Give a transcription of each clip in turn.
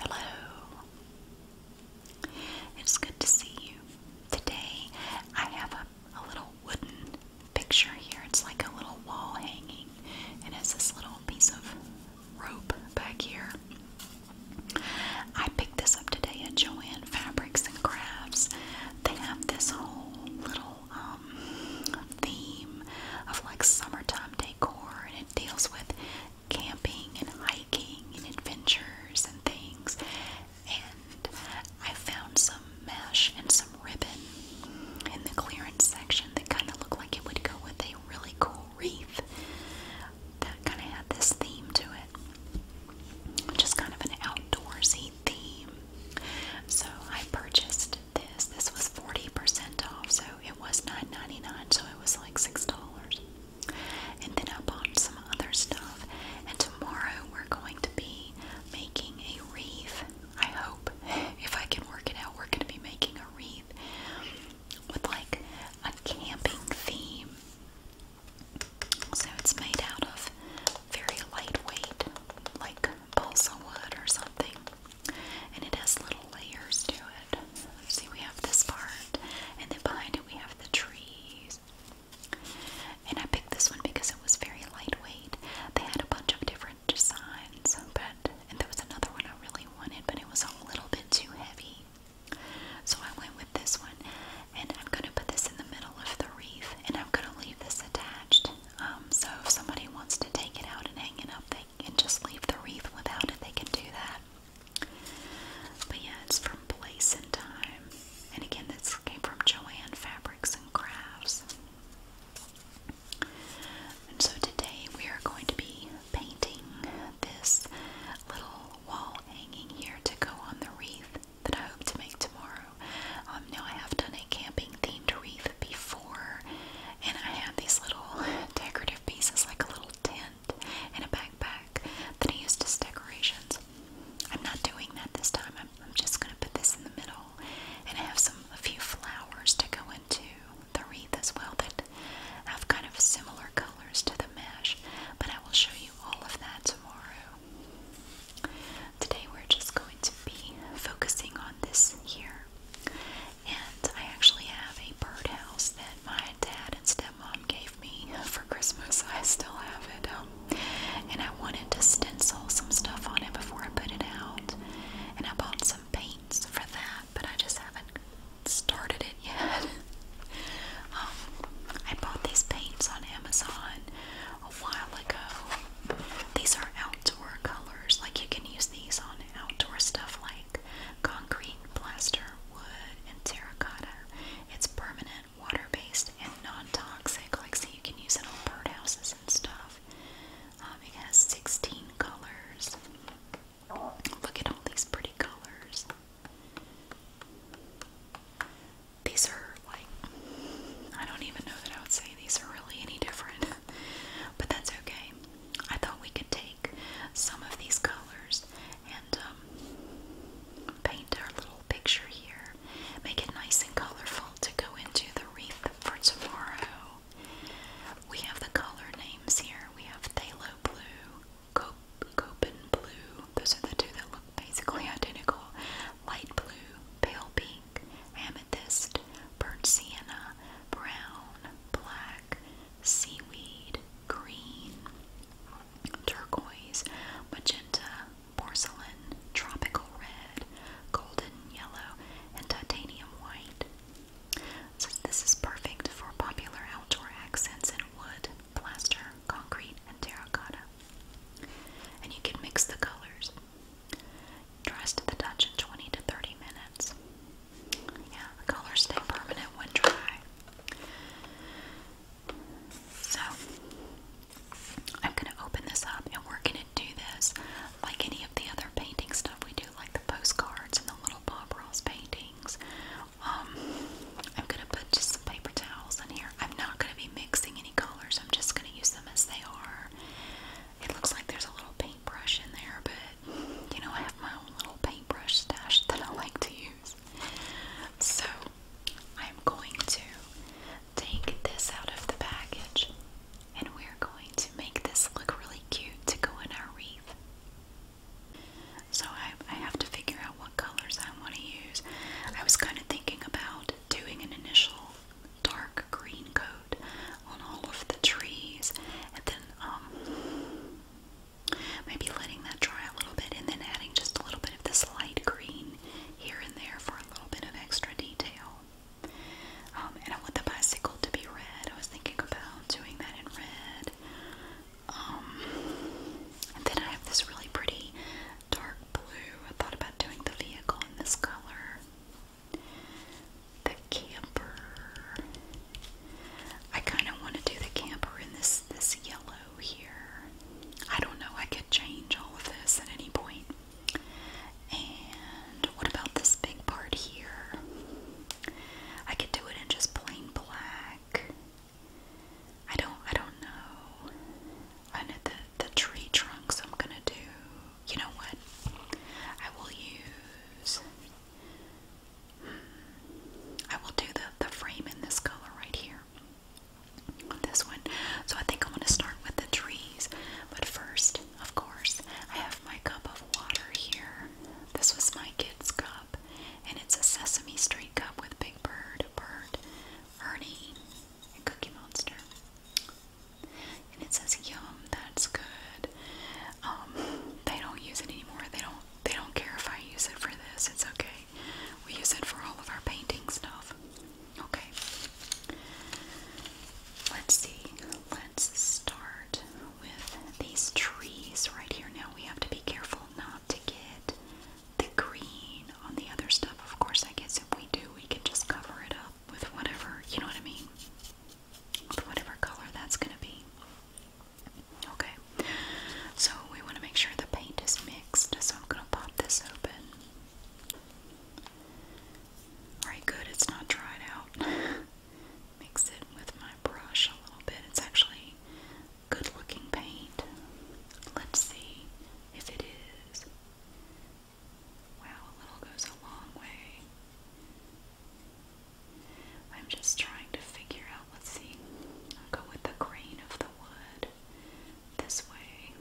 Hello. It's good to see you. Today I have a, little wooden picture here. It's like a little wall hanging and has this little piece of rope back here. I picked this up today at Joanne Fabrics and Crafts they have this whole little um, theme of like summertime decor, and it deals with camping and hiking and adventures and things. And I found some mesh and some ribbon in the clearance section that kind of looked like it would go with a really cool wreath that kind of had this theme to it. which is kind of an outdoorsy theme. So I purchased this. This was 40% off, so it was $9.99, so it was like $6. And then I bought some other stuff, and tomorrow we're going to be making a wreath. I hope, if I can work it out, we're going to be making a wreath with like a camping theme. So it's made out of very lightweight, like balsa wood or something. And it has little layers to it. see, we have this part, and then behind it we have the trees. And I picked this one because it was very lightweight. They had a bunch of different designs, but and there was another one I really wanted, but it was a little bit too heavy. So I went with this one. And I'm going to put this in the middle of the wreath and I'm going to leave this attached. Um, so if somebody wants to take it out and hang it up, they can just leave the wreath without it. They can do that. But yeah, it's from Place and Time. And again, this came from Joanne Fabrics and Crafts. And so today we are going to be painting this little wall hanging here to go on the wreath that I hope to make tomorrow. Um, now I have done a camping themed wreath before, and I had these little decorative pieces like a little tent and a backpack that I used as decorations. I'm not doing that this time. I'm, I'm just going to put this in the middle, and I have some a few flowers to go into the wreath as well that have kind of similar colors to the mesh. But I will show you all of that tomorrow. Today we're just going to be focusing on this here. And I actually have a birdhouse that my dad and stepmom gave me for Christmas. I still have it. Um, and I wanted to stencil some stuff on it before I put it out. And I bought some paints for that, but I just haven't started it yet. Um, I bought these paints on Amazon a while ago. These are outdoor colors. Like you can use these on outdoor stuff like concrete, plaster, wood, and terracotta. It's permanent, water-based, and non-toxic. Like so you can use it on birdhouses and stuff. Um, it has 16 colors. Look at all these pretty colors. These are like, I don't even know that I would say these are really any different, but that's okay. I thought we could take some of these colors and um, paint our little picture here, make it nice and colorful to go into the wreath for tomorrow. We have the color names here. We have Thalo Blue, Copen Blue. Those are the two that look basically identical light blue, pale pink, amethyst, burnt sienna, brown, black, seaweed, green, turquoise, magenta, porcelain, tropical red, golden yellow, and titanium white. So this is perfect for popular outdoor accents in wood, plaster, concrete, and terracotta. And you can mix the colors. Dressed to the touch in 20 to 30 minutes. Yeah, the colors stay permanent when dry. So, I'm going to open this up and we're going to do this like any of the other painting stuff we do, like the postcards and the little Bob Ross paintings. Um, I'm going to put just some paper towels in here. I'm not going to be mixing any colors. I'm just going to use them as they are. It looks like there's a little paintbrush in there, but you know, I have my own little paintbrush stash that I like to use. So I'm going to take this out of the package and we're going to make this look really cute to go in our wreath. So I, I have to figure out what colors I want to use. I was kind of thinking about doing an initial dark green coat on all of the trees, and then um, maybe letting that dry a little bit, and then adding just a little bit of this light green here and there for a little bit of extra detail. Um, and I want the bicycle to be red. I was thinking about doing that in red. Um, and then I have this really pretty Dark blue. I thought about doing the vehicle in this color. The camper. I kind of want to do the camper in this this yellow here. I don't know. I could change all of this at any point. And what about this big part here? I could do it in just plain black. I don't I don't know. I know the, the tree trunks I'm gonna do. You know what? I will use. Hmm, I will do the, the frame in this color right here. This one. So I think I want to start with the trees. But first, of course, I have my cup of water here. This was my kid's cup. And it's a Sesame Street cup with Big Bird, Bird, Ernie, and Cookie Monster. And it says yum, that's good. Um, they don't use it anymore. They don't they don't care if I use it for this, it's okay. We use it for all of our painting stuff. Okay. Let's see. Let's start with these trees right here. Now we have to be careful not to get the green on the other stuff. Of course, I guess if we do, we can just cover it up with whatever, you know what I mean? With whatever color that's going to be. Okay, so we want to make sure the paint is mixed, so I'm going to pop this open. Alright, good, it's not dried out. Mix it with my brush a little bit. It's actually good looking paint. Let's see if it is. Wow, a little goes a long way. I'm just trying to figure out, let's see, go with the grain of the wood this way.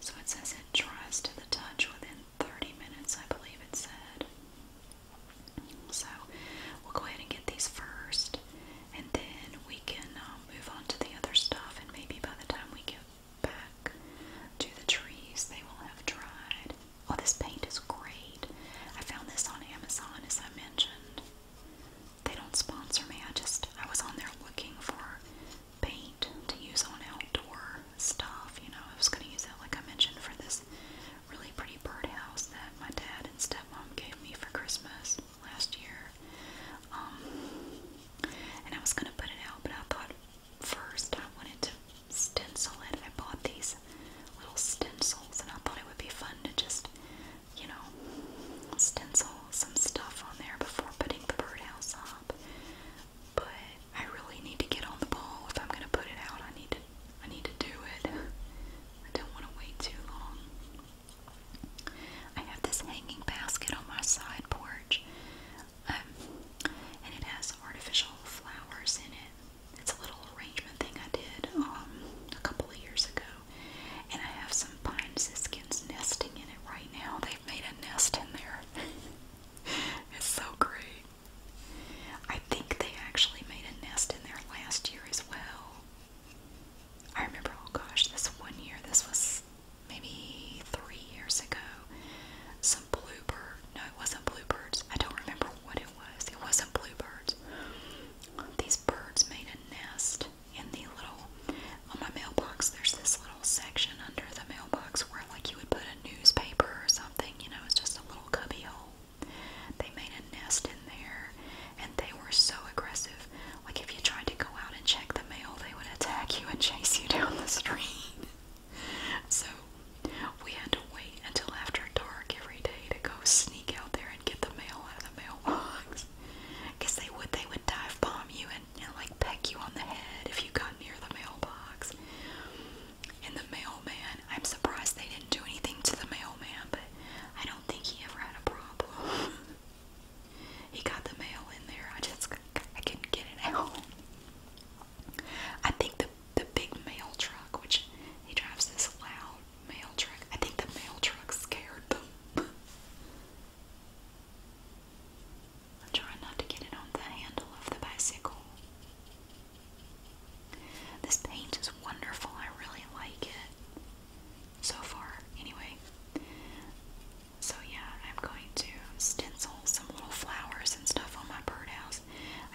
So it says it dries to the touch within 30 minutes, I believe it said. So we'll go ahead and get these first and then we can uh, move on to the other stuff. And maybe by the time we get back to the trees, they will have dried. Oh, this paint is great! I found this on Amazon, as I mentioned. They don't sponsor me. I just I was on there looking for paint to use on outdoor stuff. You know, I was going to use it, like I mentioned, for this really pretty birdhouse that my dad and stepmom gave me for Christmas last year. Um, and I was gonna put it out, but I thought first I wanted to stencil it. I bought these little stencils, and I thought it would be fun to just, you know, stencil some stuff on there before putting the birdhouse up. But I really need to get on the ball if I'm gonna put it out. I need to, I need to do it. I don't want to wait too long. I have this hanging basket on my side porch, um, and it has artificial flowers in it. It's a little arrangement thing I did um, a couple of years ago, and I have some pine siskins nesting in it right now. They've made a nest in there. it's so great. I think they actually made a nest in there last year as well. I remember, oh gosh, this one year, this was maybe three years ago, some bluebird. No, it wasn't bluebirds. I don't remember what it was. It wasn't bluebirds. These birds made a nest in the little, on my mailbox, there's this little section under the mailbox where, like, you would put a newspaper or something. You know, it's just a little cubby hole. They made a nest in there, and they were so aggressive. Like if you tried to go out and check the mail, they would attack you and chase you down the street. so we had to wait until after dark every day to go sneak out there and get the mail out of the mailbox. Cause they would they would dive bomb you and, and like peck you on the head if you got near the mailbox. And the mailman, I'm surprised they didn't do anything to the mailman, but I don't think he ever had a problem. He got the mail in there. I just I couldn't get it out. I think the the big mail truck, which he drives this loud mail truck. I think the mail truck scared them. I'm trying not to get it on the handle of the bicycle. This paint is wonderful. I really like it so far, anyway. So, yeah, I'm going to stencil some little flowers and stuff on my birdhouse.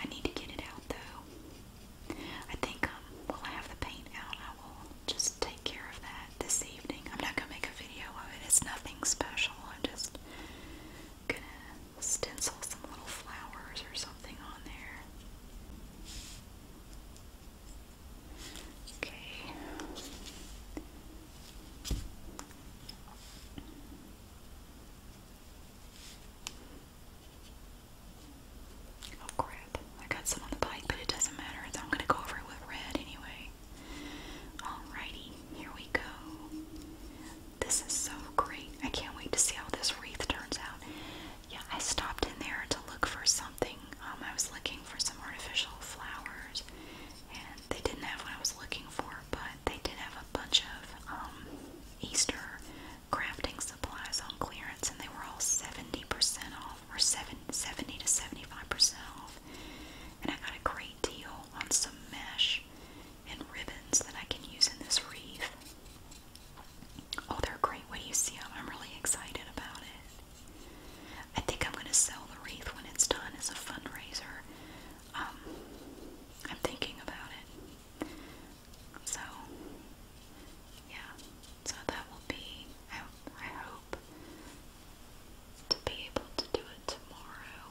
I need to get it out though. I think um, I have the paint out, I will just take care of that this evening. I'm not going to make a video of it, it's nothing special. I'm just gonna stencil some little flowers or something on there. Okay. Oh crap, I got some on the bike, but it doesn't matter. I'm gonna go over it with red anyway. Alrighty, here we go. This is so great. I can't wait to see how this wreath turns out. Yeah, I stopped in there to look for some something. Um, I was looking for some artificial flowers, and they didn't have what I was looking for, but they did have a bunch of um, Easter crafting supplies on clearance, and they were all 70% off, or 7, 70 to 75% off. And I got a great deal on some mesh and ribbons that I can use in this wreath. Oh, they're great. What do you see? I'm really excited about it. I think I'm going to sell the wreath when it's done as a fundraiser. Um, I'm thinking about it. So, yeah. So that will be, I, I hope, to be able to do it tomorrow.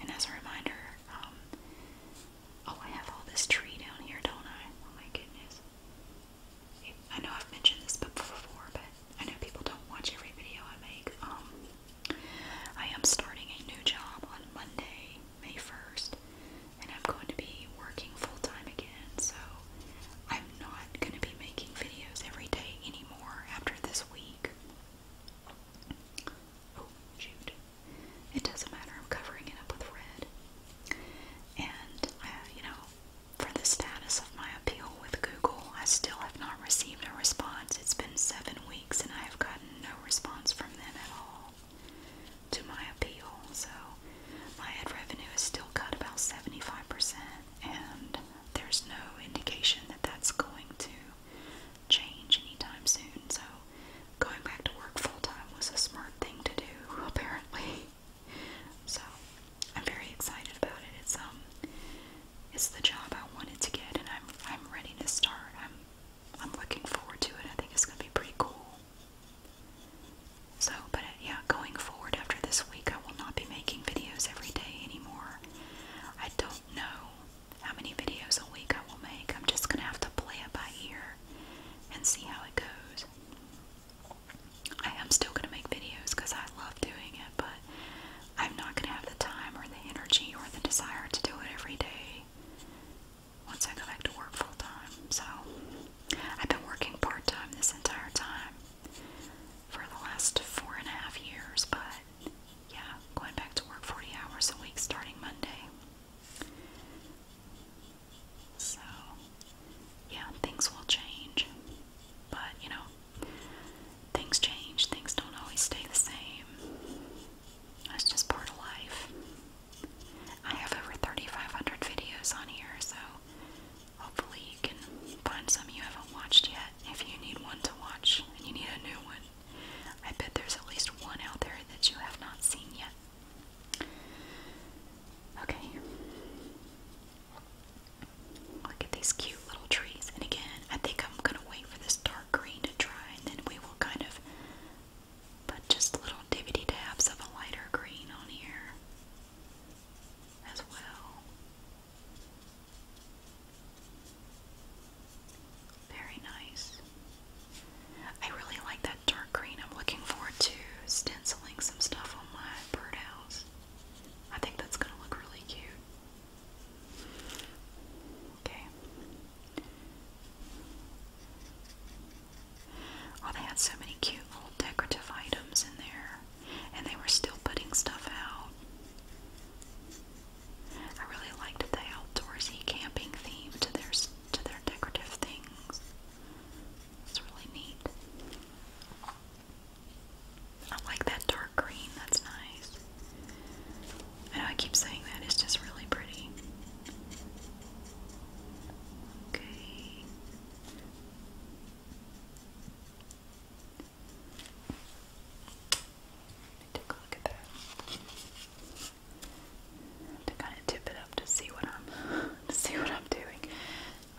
And as a reminder, um, oh, I have all this tree down here, don't I? Oh my goodness. I know I've mentioned this before, but I know people don't watch every video I make. Um, I am starting a new job on Monday, May 1st, and I'm going to be working full time again, so I'm not going to be making videos every day anymore after this week. Oh, shoot. It doesn't matter, I'm covering it up with red. And, uh, you know, for the status of my appeal with Google. I still have not received a response. It's been seven weeks and I have gotten no response from them at all to my appeal. So my ad revenue is still cut about 75%, and there's no indication that that's going to change anytime soon. So going back to work full time was a smart thing to do, apparently. So I'm very excited about it. It's um it's the job I wanted to get and I'm I'm ready to start. I'm I'm looking forward to it. I think it's gonna be pretty cool. So, but uh, yeah, going forward after this week, I will not be making videos every day anymore. I don't know how many videos a week I will make. I'm just gonna have to play it by ear and see how it goes. I am still going to make videos because I love doing it, but I'm not going to have the time or the energy or the desire to do it every day once I go back to work full time. So I've been working part time this entire time for the last four and a half years, but yeah, going back to work 40 hours a week starting Monday. So, yeah, things will change. But, you know, things change, things don't always stay the same. That's just part of life. I have over 3,500 videos on here, so hopefully you can find some you haven't watched yet. If you need one to watch and you need a new one, I bet there's at least one out there that you have not seen yet. Okay. Look at these cute little trees. And again, I think I'm going to wait for this dark green to dry and then we will kind of put just little divoty dabs of a lighter green on here as well. Very nice. I really like that dark green. I'm looking forward to stenciling some stuff on my birdhouse. I think that's gonna look really cute. Okay. Oh, they had so many cute little decorative items in there, and they were still putting stuff out. I really liked the outdoorsy camping theme to their to their decorative things. It's really neat. I like that dark green, that's nice. I know I keep saying that, it's just really pretty. Okay. Let me take a look at that to kind of tip it up to see what I'm see what I'm doing.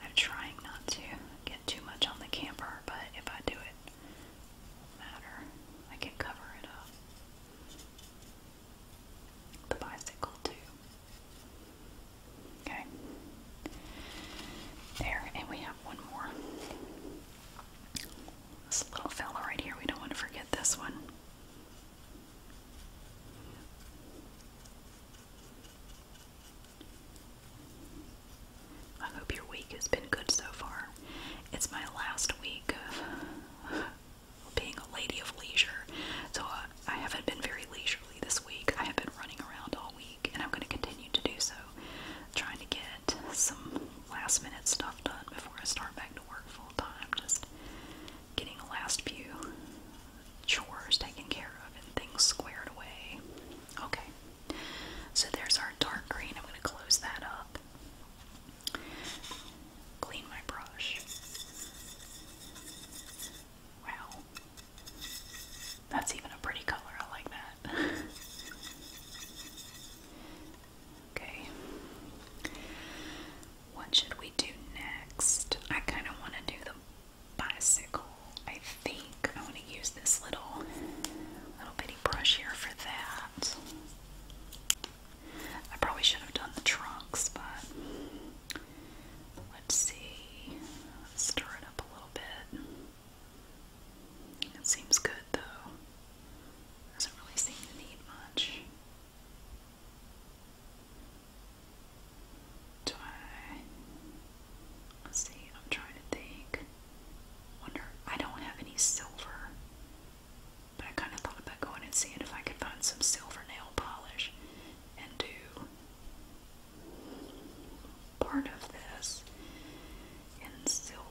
I'm trying not to get too much on the camper, but if I do it, it won't matter. I can cover it up. The bicycle too. Okay. There, and we have one more. This little fella right here, we don't want to forget this one. I hope your week has been good so far. It's my last week of being a lady of leisure, so I, haven't been very leisurely this week. I have been running around all week, and I'm going to continue to do so, trying to get some last minute stuff done before I start back to work full time. Just getting a last few chores taken care of and things squared away. Okay, so there's our dark green. I'm going to close that up. Clean my brush. Wow. That's even a pretty color. I like that. okay. What should we do next? I kind of want to do the bicycle. I think I want to use this little little bitty brush here for that. I probably should have done the trunks, but let's see. Let's stir it up a little bit. It seems good though. Doesn't really seem to need much. Do I? Let's see, I'm trying to think. Wonder, I don't have any silver, but I kind of thought about going and seeing if I could find some silver nail polish and do part of this in silver.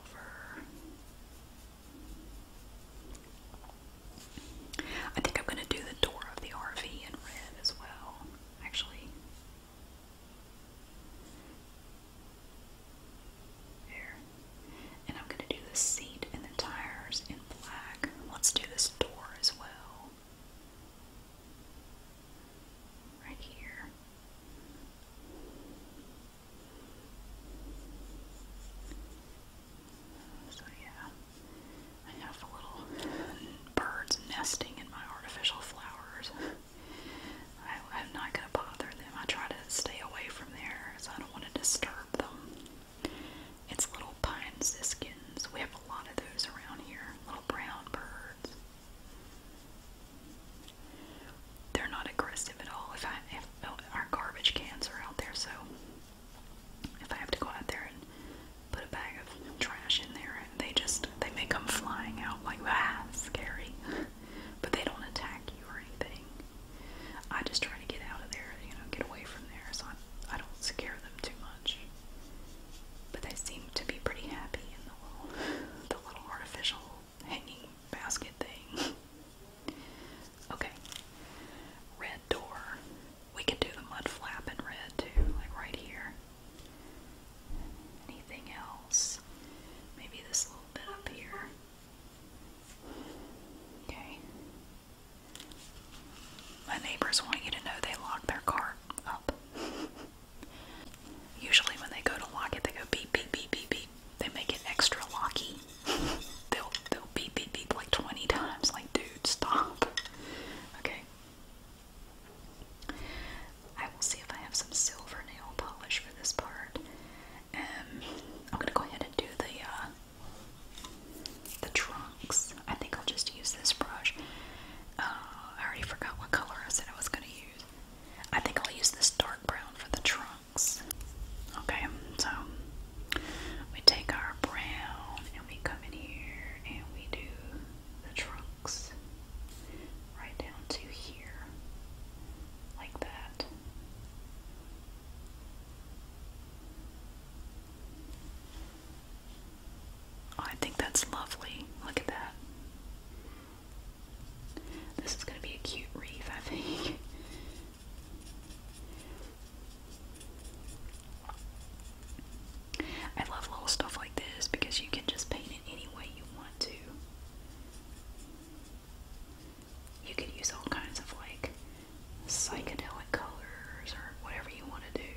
I think I'm going to do the door of the RV in red as well, actually. There. And I'm going to do the seat and the tires in black. Let's do this door as well. Right here. So yeah, I have little birds nesting in my artificial flowers. I, I'm not gonna bother them. I try to stay away from there because I don't want to disturb them. It's little pine siskins. We have a lot of those around here. Little brown birds. They're not aggressive at all. If I if, oh, our garbage cans are out there, so if I have to go out there and put a bag of trash in there, and they just they may come flying out like ah, scary, but they don't attack you or anything. I just try to get out of there, you know, get away from there, so I, I don't scare them too much. But they seem to be pretty happy in the little, the little artificial hanging basket thing. okay, red door. We can do the mud flap in red too, like right here. Anything else? Maybe this little bit up here. Okay. My neighbors want you to know they lock their cart up. Usually when they go to lock it, they go beep, beep, beep, beep, beep. They make it extra locky. They'll, they'll beep, beep, beep like 20 times, like, dude, stop. Okay. I will see if I have some silver nail polish for this part. Um, I'm gonna go ahead and do the uh, the trunks. I think I'll just use this brush. Uh, I already forgot what color I said I was gonna use. I think I'll use this dark brown for the trunks. Okay, so we take our brown we come in here and we do the trunks right down to here, like that. Oh, I think that's lovely. Look at that. This is going to be a cute reef, I think. I love little stuff like this because you can just paint it any way you want to. You can use all kinds of like psychedelic colors or whatever you want to do.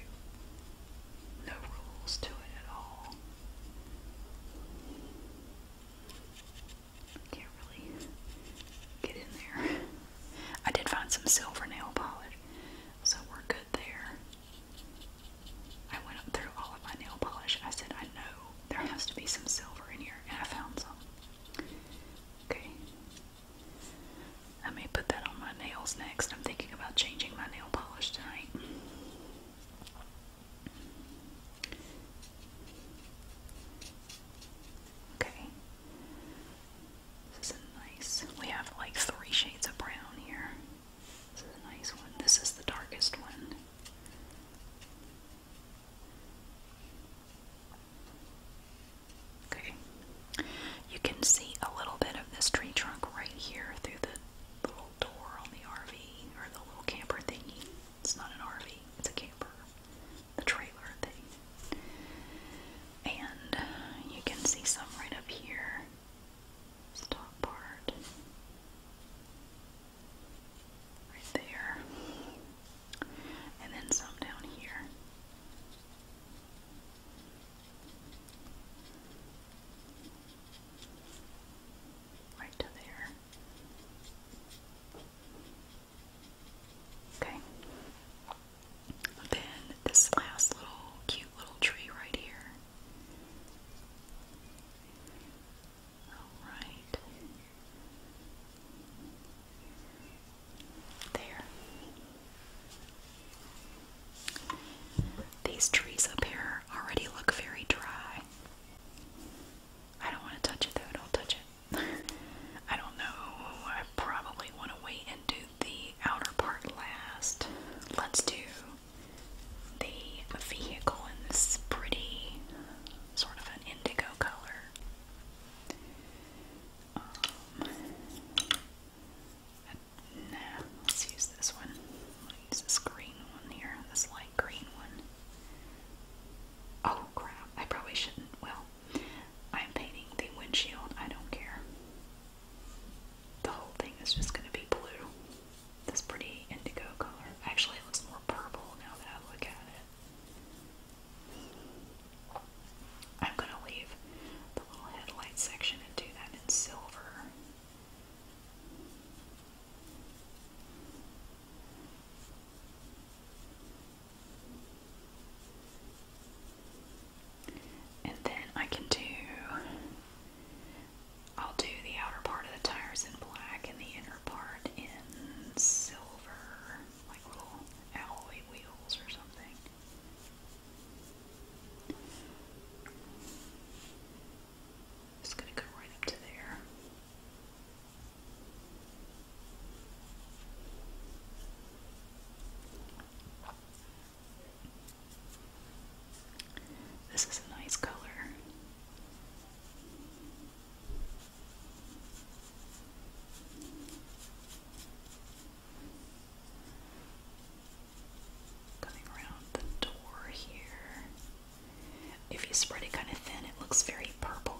No rules to it at all. Can't really get in there. I did find some silver nail polish, so we're good there. I went through all of my nail polish. I said, I know there has to be some silver in here, and I found some. Okay. I may put that on my nails next. I'm thinking about changing my nail polish tonight. Okay. This is a nice. We have like three shades of brown here. This is a nice one. This is the darkest one. Okay. You can see a little bit of this tree trunk right here through the little door on the RV or the little camper thingy. It's not an RV, it's a camper. The trailer thing. And you can see some right up here. Stop part. Right there. And then some down here. Right to there. Okay. Then this last little cute little tree right here. Alright. There. These trees up here already look very dry. I don't want to touch it though, don't touch it. I don't know. I probably want to wait and do the outer part last. Let's do the vehicle in this pretty sort of an indigo color. Um, let's use this one. use this green one here, this light green one. Oh crap, I probably shouldn't. Well, I'm painting the windshield. I don't care. The whole thing is just going to be blue. This pretty indigo color. Actually, it looks more purple now that I look at it. I'm going to leave the little headlight section and do that in silver. And then I can do, I'll do the outer part of the tires in black and the inner part in silver, like little alloy wheels or something. Just gonna go right up to there. This is a nice color. Coming around the door here. If you spread it kind of thin, it looks very purple.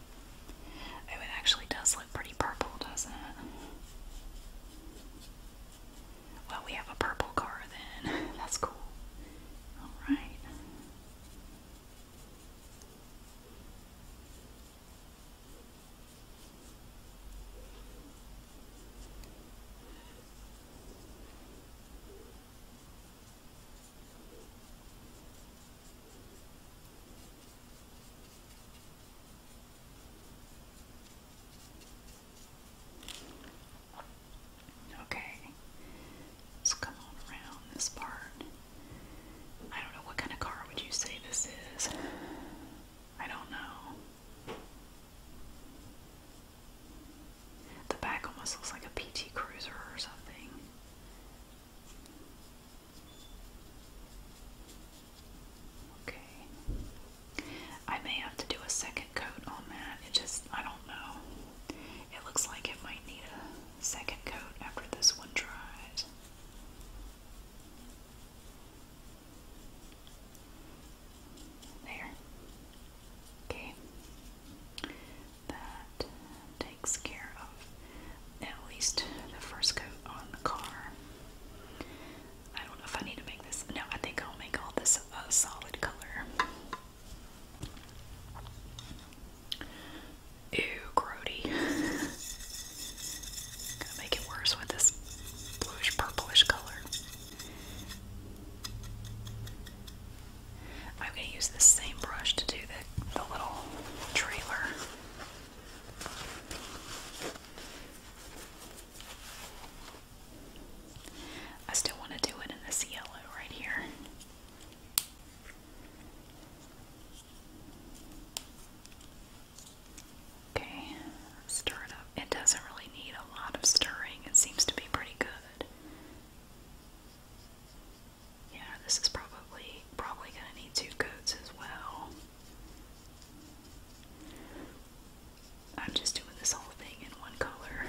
Oh, it actually does look pretty purple, doesn't it? Well, we have a purple car then. That's cool. Alright. Okay, let's come around this part. I don't know what kind of car would you say this is. I don't know. The back almost looks like a PT Cruiser or something. Okay. I may have to do a second coat on that. It just, I don't know. It looks like it might need a second coat after this one dries. There. Okay. That takes care at least the first coat on the car. I don't know if I need to make this. No, I think I'll make all this a solid color. Ew, grody. Gonna make it worse with this bluish purplish color. I'm gonna use the same brush to do the, little trailer. I still want to do it in the yellow right here. Okay, stir it up. It doesn't really need a lot of stirring, it seems to be pretty good. Yeah, this is probably probably going to need two coats as well. I'm just doing this whole thing in one color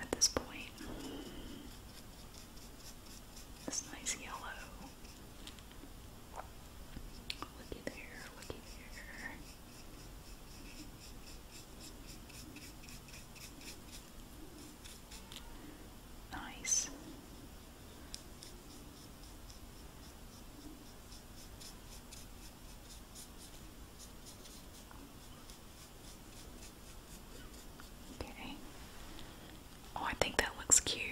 at this point. This nice yellow. Looky there, looky there. Nice. Okay. Oh, I think that looks cute.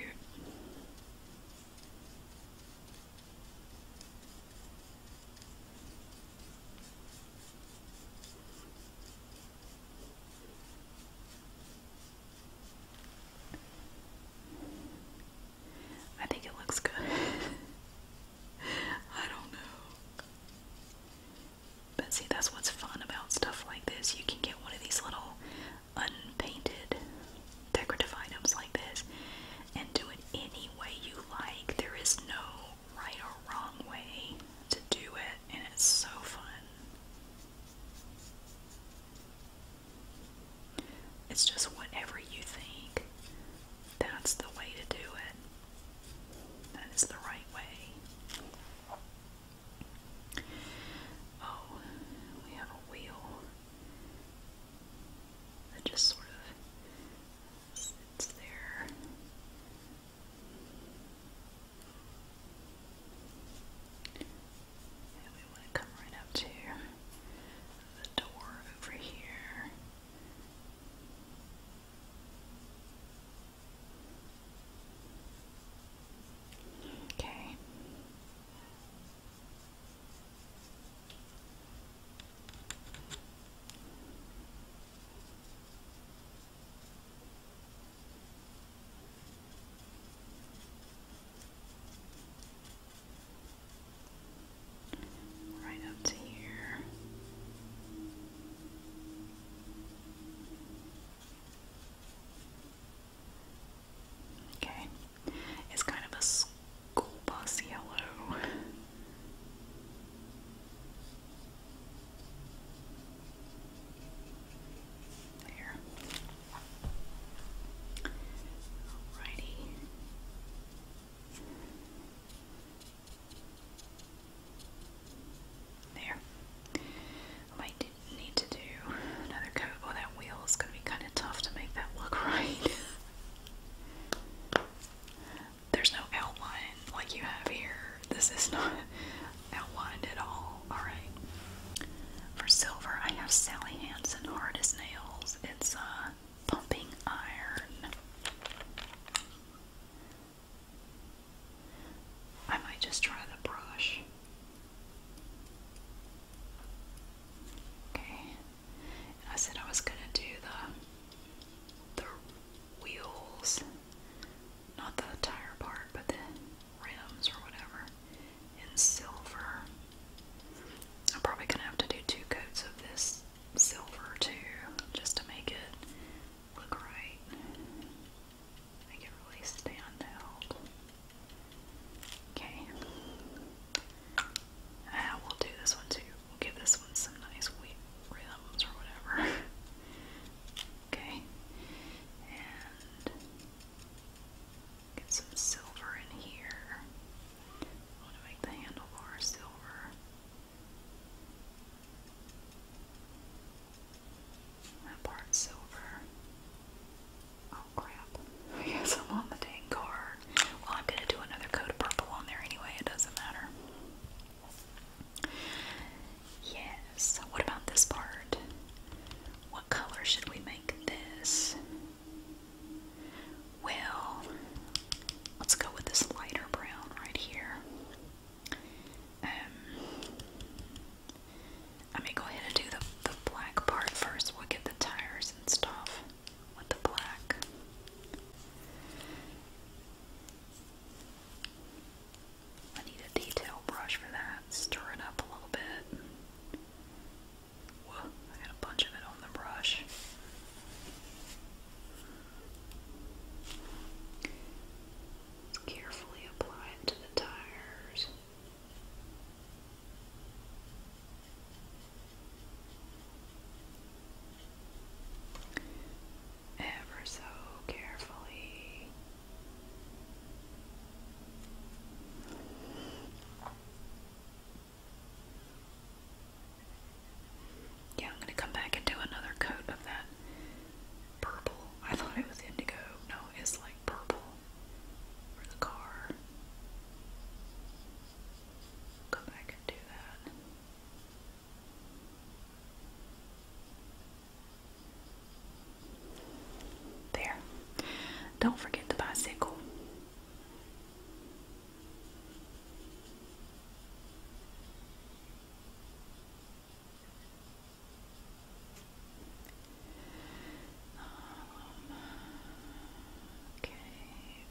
I think it looks good. I don't know. But see, that's what's fun about stuff like this. You can get one of these little unpainted decorative items like this and do it any way you like. There is no right or wrong way to do it, and it's so fun. It's just whatever you think, that's the way to do it. That is the right way. Oh, we have a wheel that just sort of sits there. And we want to come right up to the door over here. Okay. Right up to here. Okay. It's kind of a school bus yellow. There. Alrighty. There. might need to do another coat. Oh, that wheel is going to be kind of tough to make that look right. There's no outline like you have here this is not outlined at all. Alright. For silver, I have Sally Hansen Hard Nails. It's uh, pumping iron. I might just try the brush. Okay. I said I was gonna do the the wheels. Not the tire part, but the rims or whatever in silver. I'm probably gonna have to do two coats of this silver too, just to make it look right. Make it really stand out. Okay. Ah, we'll do this one too. We'll give this one some nice wheat rims or whatever. Okay. And get some silver in here. I want to make the handlebar silver. That part silver. Oh crap. I I'm the dang card. Well, I'm going to do another coat of purple on there anyway. It doesn't matter. Yes, what about this part? What color should we make this? Well, let's go with this lighter brown right here. Um, I go ahead and do the, the black part first. We'll get the tires and stuff with the black. I need a detail brush for that. Stir it up a little bit. I got a bunch of it on the brush. Carefully apply it to the tires. Ever so carefully. Yeah, I'm gonna come back and do another coat of that purple. I thought it was indigo. No, it's like purple for the car. Come back and do that. There. Don't forget the bicycle. Um, okay,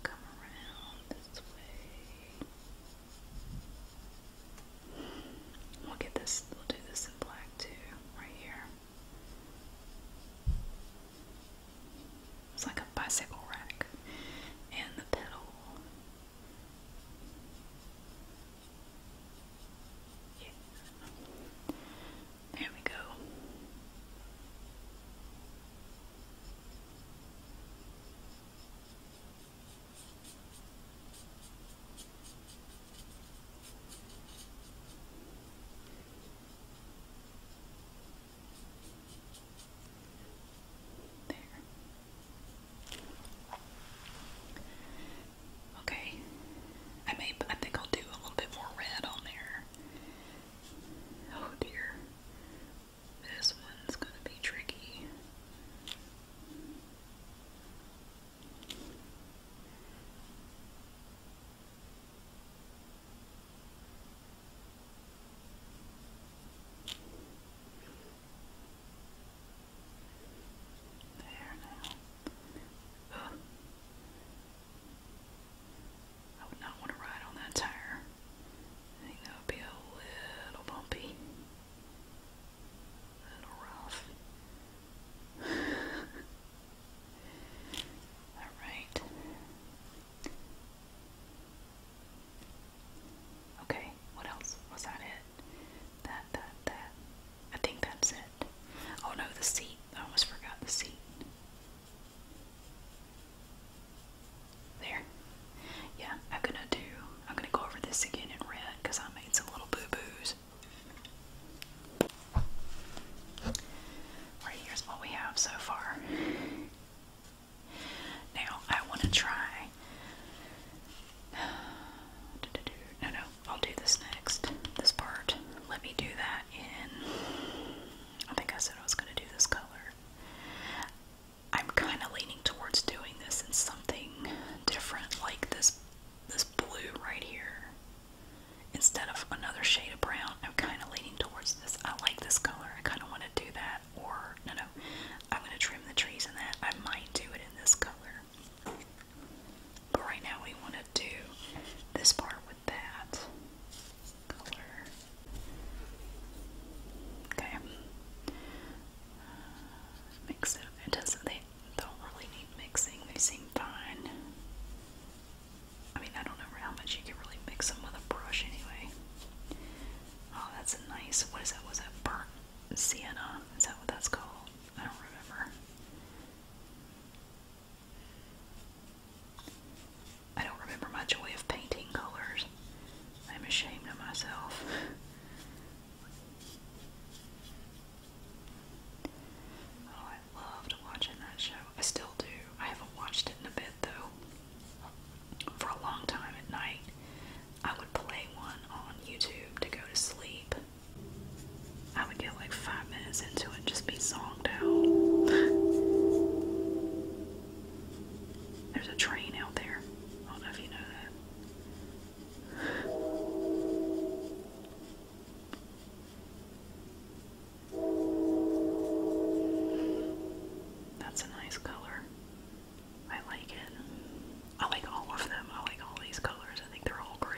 come around this way. We'll get this, we'll do this in black too, right here. It's like a bicycle rack and the pedal. There we go. There. Okay. I may I think I'll do a little bit more red on there. Oh dear. This one's gonna be tricky. There now. I would not want to ride on that tire. I think that would be a little bumpy little rough. Alright. Okay, what else? Was that it? That, that, that. I think that's it. Oh no, the seat. I almost forgot the seat. There. Yeah, I'm gonna do, I'm gonna go over this again in red because I made some little boo boos it. here's what we have so far. Now, I want to try. No, no, I'll do this next. This part. Let me do that in. I think I said I was going to do this color. I'm kind of leaning towards doing this in something different, like this this blue right here instead of another shade of brown. I'm kind of leaning towards this. I like this color. I kind of want to do that. Or, no, no, I'm going to trim the trees in that. I might do it in this color. But right now we want to do this part with that color. Okay. Uh, mix it up. It don't really need mixing. They seem fine. I mean, I don't know how much you can really mix them with a brush anyway. Oh, that's a nice, what is that? Was that burnt sienna? Is that what that's called? I don't remember. I don't remember my joy of painting colors. I'm ashamed of myself. Oh, I loved watching that show. I still do. I haven't watched it in a bit though. For a long time at night, I would play one on YouTube to go to sleep. I would get like five minutes into it and just be zonked out. There's a train out there. I don't know if you know that. That's a nice color. I like it. I like all of them. I like all these colors. I think they're all great.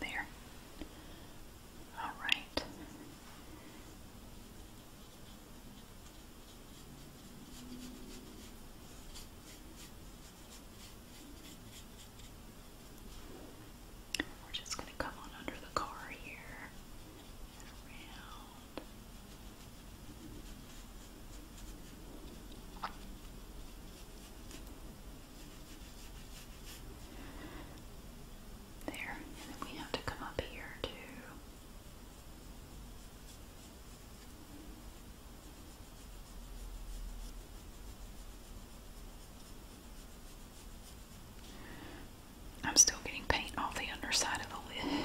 There. All right. We're just going to come on under the car here and around. There, and then we have to come up here to I'm still getting paint off the underside of the lid.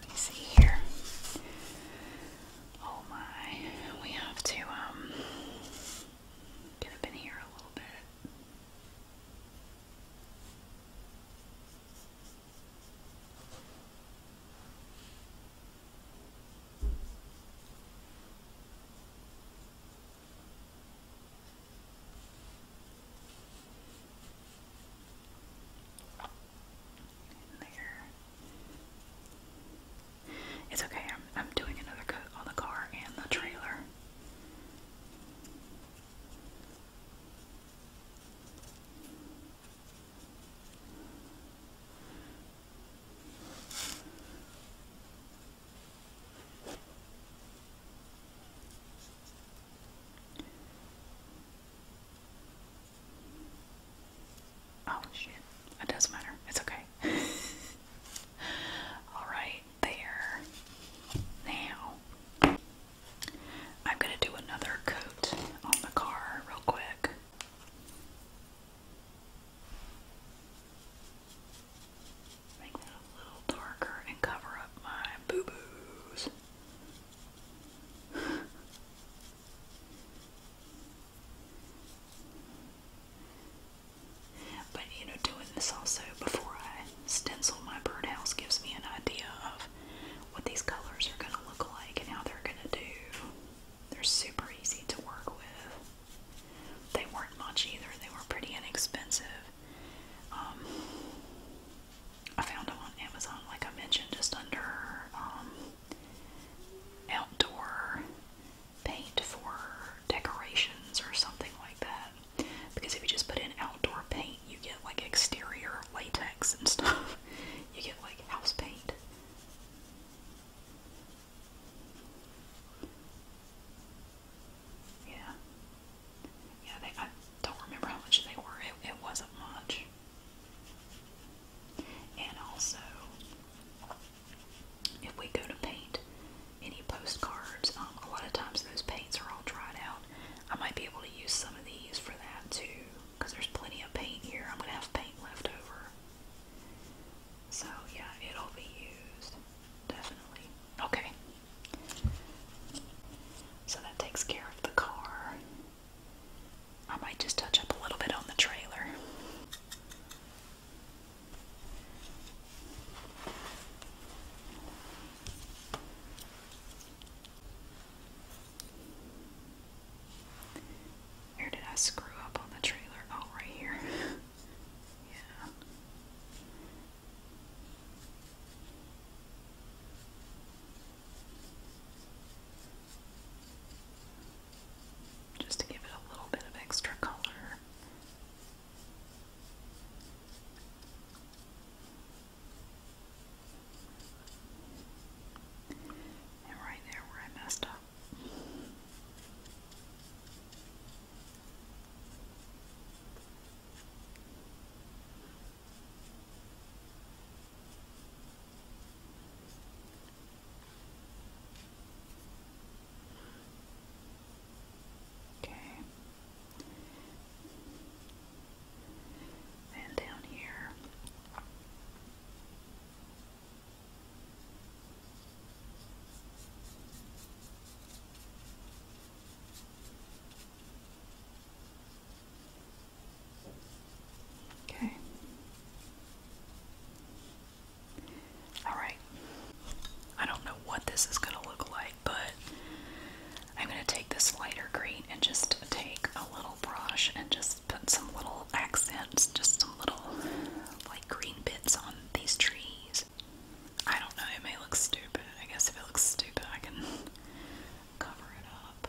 Let me see here. Oh my, we have to um get up in here a little bit. It's okay. I'm I'm doing another coat on the car and the trailer. Oh shit. It doesn't matter. It's okay. Alright, there. Now, I'm going to do another coat on the car real quick. Make that a little darker and cover up my boo boos. but you know, doing this also before I stencil my birdhouse gives me an idea of what these colors are going to look like and how they're going to do. They're super easy to work with. They weren't much either, they were pretty inexpensive. Um, I found them on Amazon, like I mentioned, just under um, outdoor paint for decorations or something like that. Because if you just put in outdoor paint, you get like exterior latex and stuff. You get like house paint. Yeah. Yeah, they, I don't remember how much they were. It, it wasn't much. And also, if we go to paint any postcards, um, a lot of times those paints are all dried out. I might be able to use some of these for that too, because there's plenty of paint here. I'm going to have paint left over. So, yeah, it'll be used. Definitely. Okay. So that takes care of the car. I might just touch up a little bit on the trailer. Where did I screw up on the trailer? Oh, right here. yeah. Just to give it a little bit of extra color. And right there where I messed up. Okay. And down here. Okay. Alright. I don't know what this is going to look like, but I'm going to take this lighter green and just take a little brush and just put some little accents, just some little like green bits on these trees. I don't know, it may look stupid. I guess if it looks stupid, I can cover it up.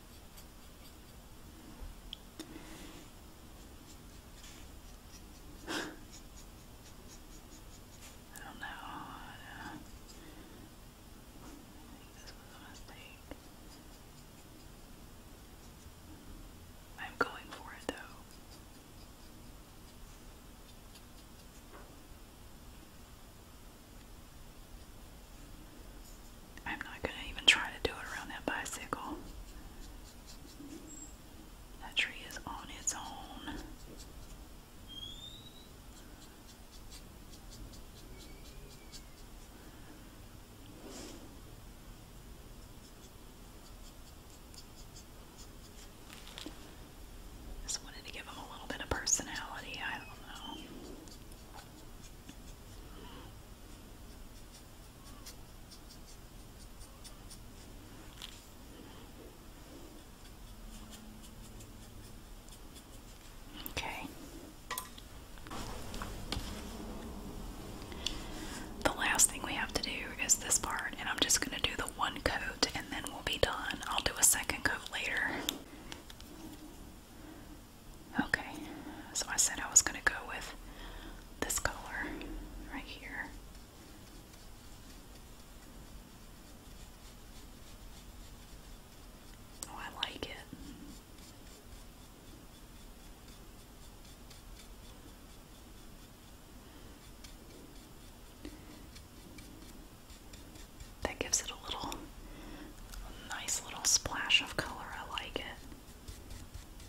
I don't know. I think this was a mistake. I'm going for it though. I'm not going to even try to do it around that bicycle. That tree is on its own. Just wanted to give them a little bit of personality. I don't know. Okay. The last thing we have to do is this part, and I'm just going to do the one coat and then we'll be done. I'll do a second coat later. Okay, so I said I was going to go with this color right here. Oh, I like it. That gives it a little nice little splash of color. I like it.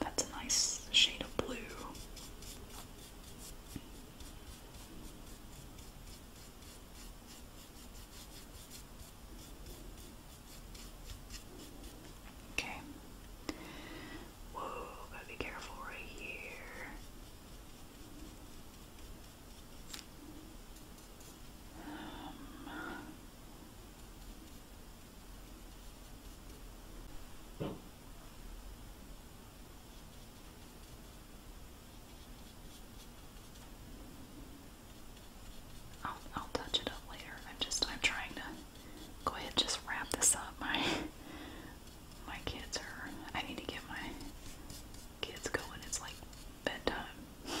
That's a nice shade of blue. Okay. Whoa, gotta be careful right here. Um, I'll, I'll touch it up later. I'm just I'm trying to go ahead just wrap this up. My my kids are I need to get my kids going. It's like bedtime.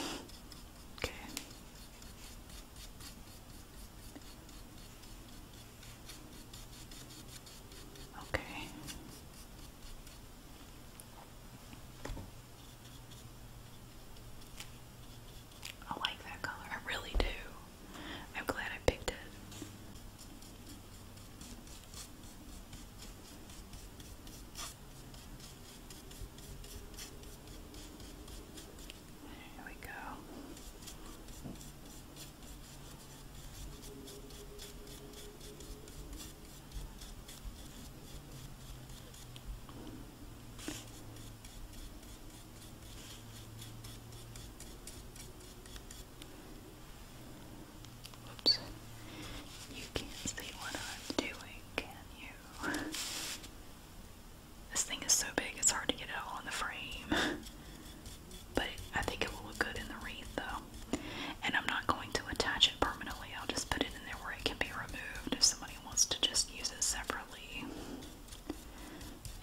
okay. Okay. I like that color. I really do. I'm glad I picked it. There we go. Oops. You can't see what I'm doing, can you? This thing is so big it's hard to get it all in the frame. but I think it will look good in the wreath though. And I'm not going to attach it permanently. I'll just put it in there where it can be removed if somebody wants to just use it separately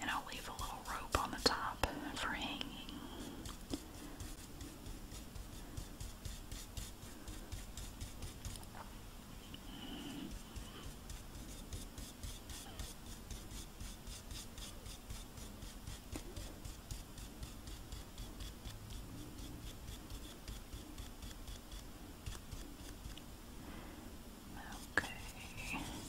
and I'll leave a little rope on the top for hanging. Okay.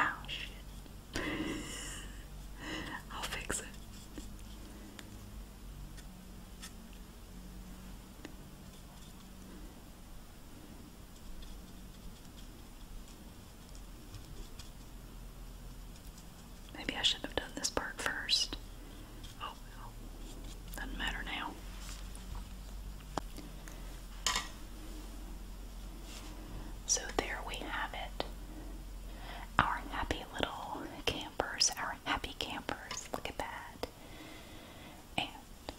Oh shit. I'll fix it. Maybe I should have done this part first. Oh doesn't matter now. So there we have it. Our happy little campers, our happy campers. Look at that and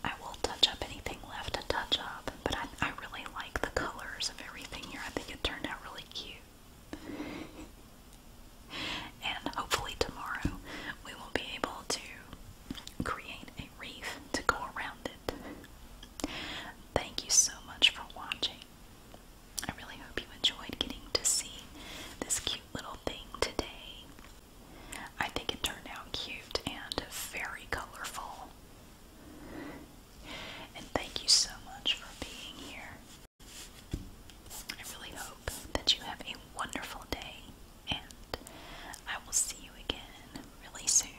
I will touch up anything left to touch up, but I, really like the colors of everything here. I think it turned out really cute. and hopefully tomorrow we will be able to create a wreath to go around it. Thank you so much for watching. I really hope you enjoyed getting to see this cute little thing today. I think it turned out cute and very colorful. And thank you so much for being here. I really hope that you have a wonderful day, and I will see you again really soon.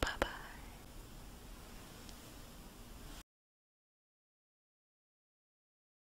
Bye bye.